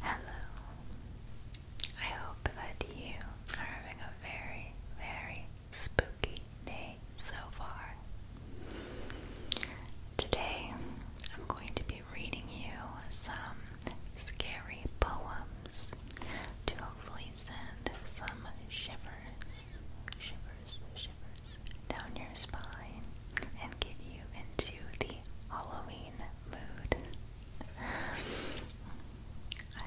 Hello. I hope that you are having a very, very spooky day so far. Today, I'm going to be reading you some scary poems to hopefully send some shivers shivers, shivers down your spine and get you into the Halloween mood. I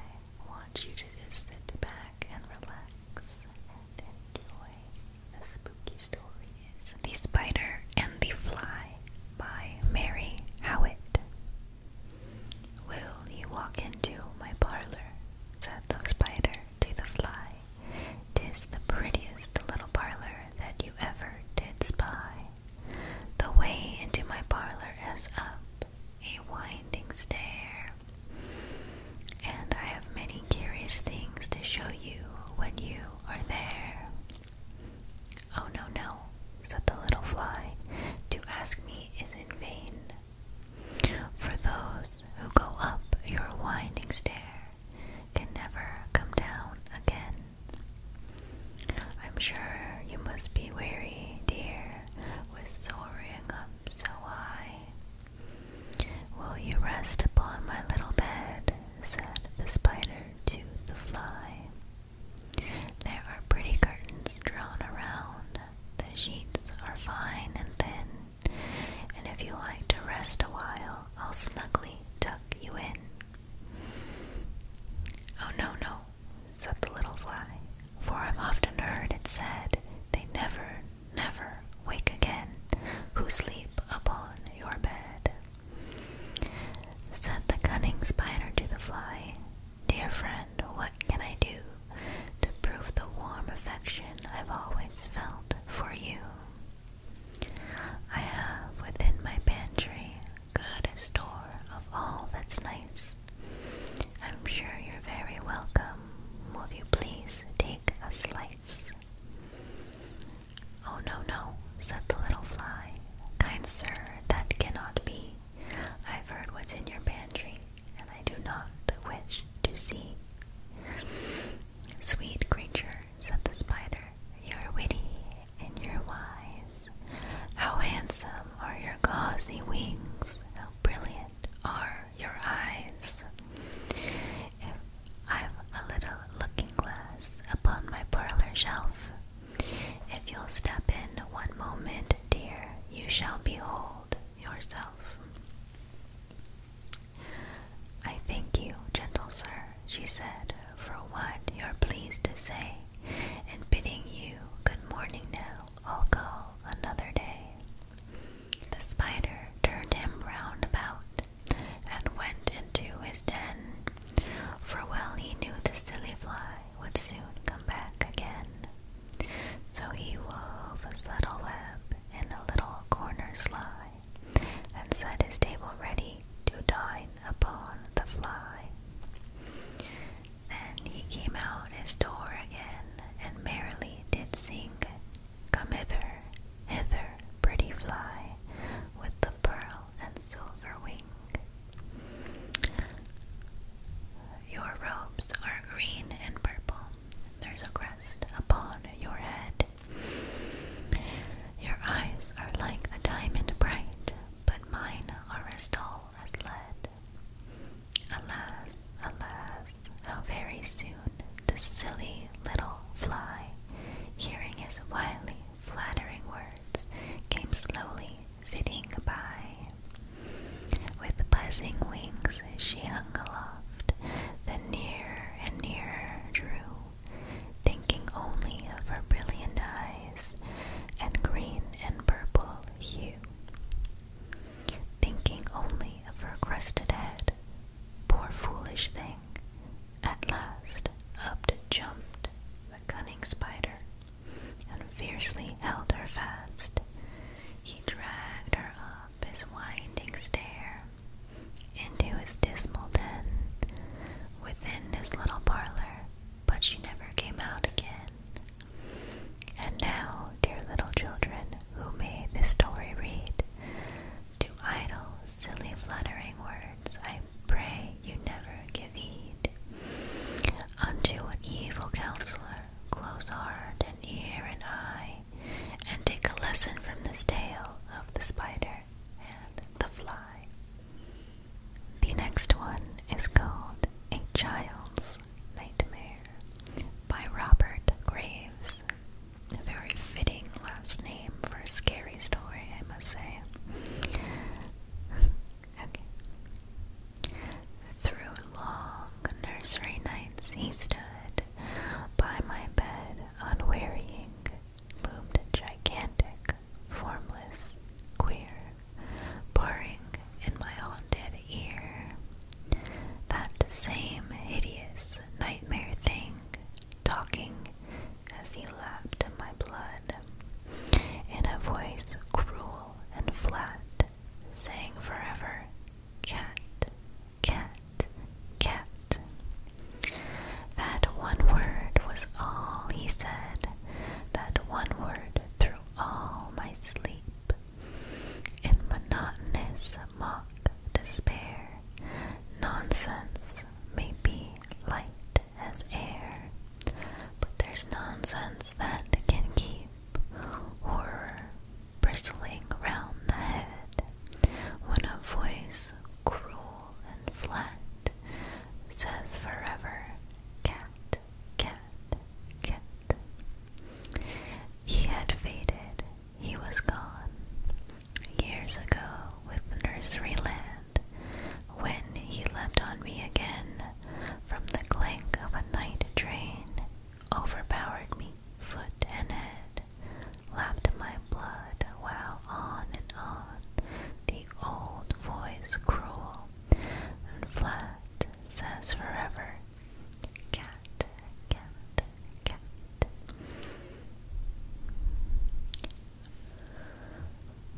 want you to just sit back and relax and enjoy the spooky stories The Spider and the Fly by Mary Howitt. Will you walk into my parlor? said the spider to the fly. Tis the prettiest little parlor that you ever did spy. The way into my parlor is up a winding stair, and I have many curious things to show you when you are there. Oh, no, no, said the little fly. To ask me is in vain. For those who go up your winding stair can never come down again. I'm sure you must be weary, dear, with soaring up so high. Will you rest upon my little bed? said the spider to the fly. There are pretty curtains drawn around the sheets are fine and thin, and if you like to rest a while, I'll snugly tuck you in. Oh, no, no, said the little fly, for I've often heard it said they never, never wake again who sleep upon your bed. Said the cunning spider to the fly, Dear friend, what can I do to prove the warm affection I've always felt for you? I have within my pantry good store of all that's nice. I'm sure you're very welcome. Will you please take a slice? Oh, no, no, said the little fly. Kind sir, that cannot be. I've heard what's in your pantry, and I do not wish to see. Sweet creature, said the spider, you're witty and you're wise. How handsome are your gauzy wings, how brilliant are your eyes. If I've a little looking glass upon my parlor shelf, if you'll step in one moment dear, you shall behold yourself. I thank you, gentle sir, she said, for what you are pleased to say, and bidding you good morning now, I'll call another day. The spider turned him round about, and went into his den, for well he knew the silly fly would soon come back again. So he wove a subtle web in a little corner sly, and set his table ready to dine upon the fly. Then he came out his door again, and merrily did sing, Come hither, hither, pretty fly, with the pearl and silver wing. Your robes are green and purple. There's a crest upon your head. Your eyes are like a diamond bright, but mine are as dull as lead. Alas, alas, how very soon the silly little fly, hearing his wily, flattering words, came slowly fitting by. With buzzing wings she hung aloft, then nearer and nearer drew, thinking only of her brilliant eyes and green and purple hue, thinking only of her crested head. Poor foolish thing! At last up jumped the cunning spider, and fiercely held her fast. He dragged her up his winding stair into his dismal den within his little parlor, but she never came out again. And now, dear little children, who made this story read? To idle, silly, fluttering words I pray you never give heed unto an evil counselor. Close heart and ear and eye, and take a lesson from this tale of the spider and the fly. The next one is called A Child's Nightmare by Robert Graves. A very fitting last name for a scary story, I must say. Through long nursery nights he stood by my bed, unwearying, loomed gigantic, formless, queer, boring in my haunted ear. That same hideous nightmare thing, talking as he lapped my blood, in a voice cruel and flat, saying forever, Cat, cat, cat. That one word was all he said, that one word through all my sleep. In monotonous mock despair, nonsense may be light as air, but there's nonsense that can keep horror bristling round the head when a voice cruel and flat says forever cat, cat, cat. He had faded, he was gone. Years ago, with the nursery land, when he leapt on me again from the clank of a night train, overpowered me foot and head, lapped my blood while on and on the old voice cruel and flat says forever cat, cat, cat.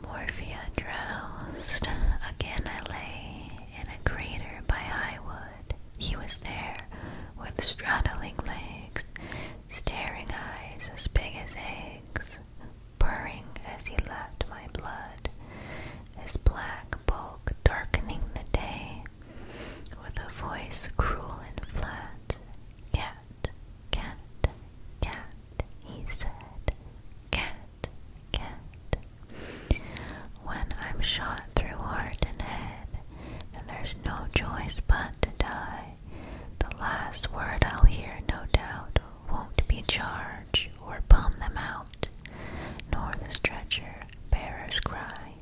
Morphia drowsed. Again I lay in a crater by high He was there, with straddling legs, staring eyes as big as eggs, purring as he lapped my blood, his black bulk darkening the day, with a voice cruel and flat. Cat cat, cat, cat, he said, cat, cat. When I'm shot through heart and head, and there's no choice but to die, the last word I'll hear, no doubt, won't be charge or palm them out, nor the stretcher bearer's cry.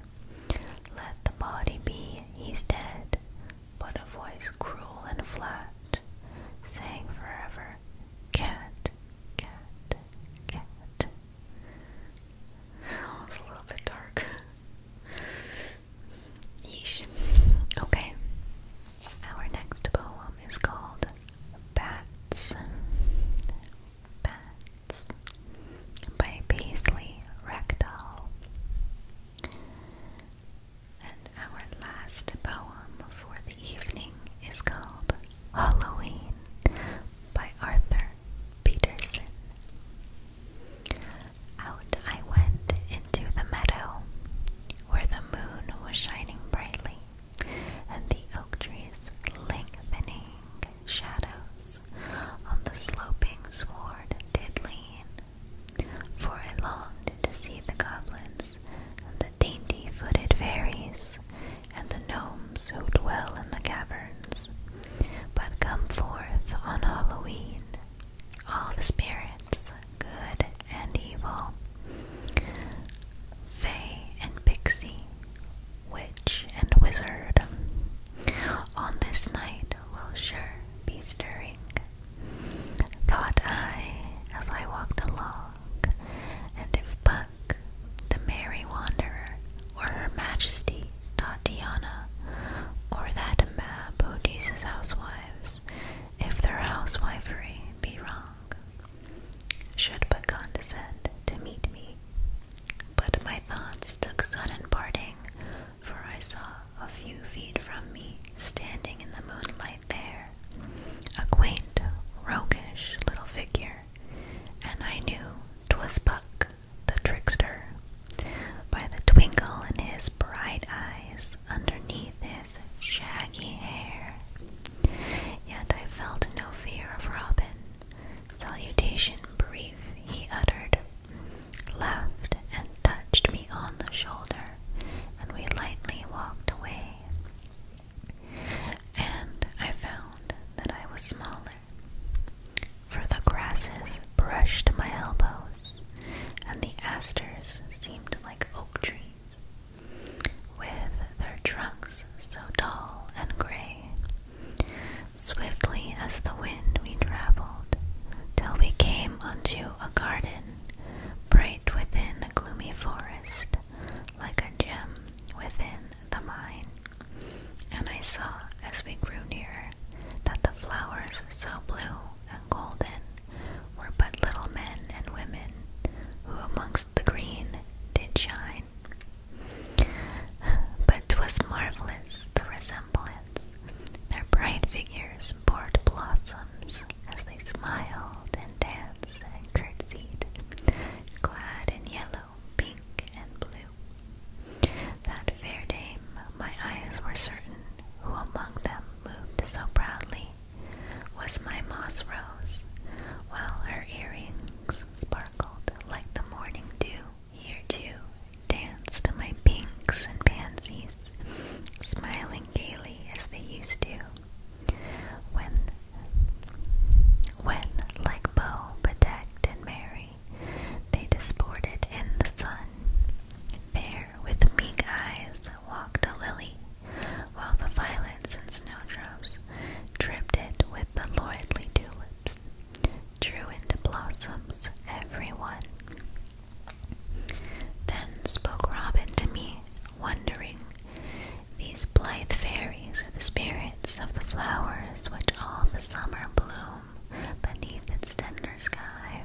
Let the body be, he's dead but a voice cruel and flat, saying forever, Cat, cat, cat. Oh, it's a little bit dark. Yeesh. Okay. Our next poem is called Bats. Bats by Paisley Rectal. And our last poem for the evening is called Halloween by Arthur Peterson. Out I went into the meadow where the moon was shining brightly and the oak trees lengthening shadows on the sloping sward did lean for I longed to see the goblins, and the dainty footed fairies, and the gnomes who dwell in the caverns. But come forth on Halloween, all the spirits, good and evil, fae and pixie, witch and wizard. On this night will sure be stirring thought I as I walked along, and if Buck, the merry wanderer, or Her Majesty Tatiana, or that mad who housewives, if their housewifery be wrong, should but condescend to meet me. But my thoughts took sudden parting for I saw a few feet from me, standing in the moonlight there, a quaint, roguish little figure, and I knew 'twas Buck the trickster, by the twinkle in his bright eyes underneath his shaggy hair. Yet I felt no fear of Robin. Salutation brief he uttered laughed and touched me on the shoulder, and we lightly walked away. And I found that I was smaller, for the grasses brushed my elbows, and the asters seemed like oak trees, with their trunks so tall and gray. Swiftly as the wind, we traveled travelled, till we came unto a garden, bright within a gloomy forest, like a gem within the mine. And I saw, as we grew nearer, that the flowers so blue and golden were but little men and women, who amongst the green did shine. But 'twas marvellous the resemblance their bright figures poured blossoms as they smiled and danced and curtsied, clad in yellow, pink, and blue. That fair dame, my eyes were certain, who among them moved so proudly, was my moss rose, while her earrings sparkled like the morning dew. Here too danced my pinks and pansies, smiling gaily as they used to. When, when like bow bedecked and merry, they disported in the sun. There, with meek eyes, walked a lily, while the violets and snowdrops dripped it with the lordly tulips drew into blossoms everyone. Then spoke Robin to me, wondering, These blithe fairies are the spirits of the flowers which all the summer bloom beneath its tender sky.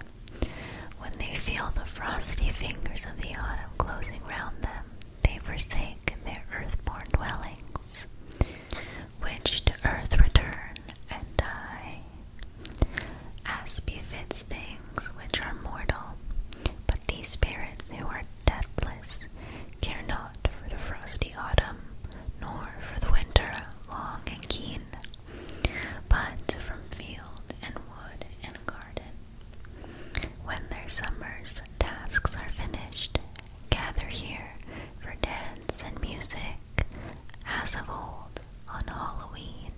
When they feel the frosty fingers of the autumn closing round them, they forsake their earth-born dwellings, which to earth return and die as befits things which are mortal. But these spirits who are deathless care not for the frosty autumn, nor for the winter long and keen, but from field and wood and garden. When their summer's tasks are finished, gather here for dance and music, as of old on Halloween.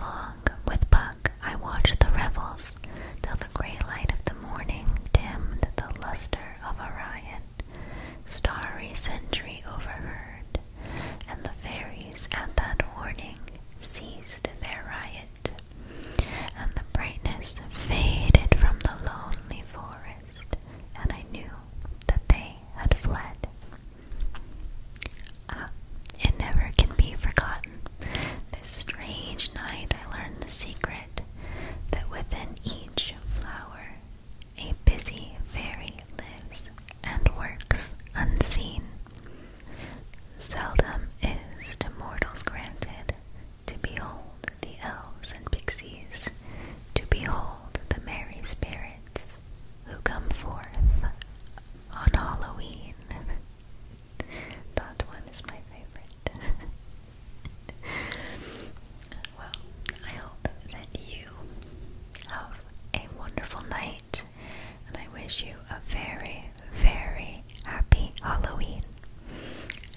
Long with Buck I watched the revels till the grey light of the morning dimmed the luster of Orion. Starry sentry overheard, and the fairies at that warning ceased their riot, and the brightness faded from the lonely forest, and I knew that they had fled. Ah, it never can be forgotten. This strange night I learned the secret that within each flower a busy fairy lives and works unseen. Seldom is to mortals granted to behold the elves and pixies to behold the merry spirits who come forth on Halloween. that one is my favorite. well, I hope that you have a wonderful night, and I wish you a very, very happy Halloween.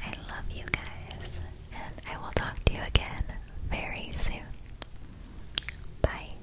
I love you guys, and I will talk to you again very soon. Bye.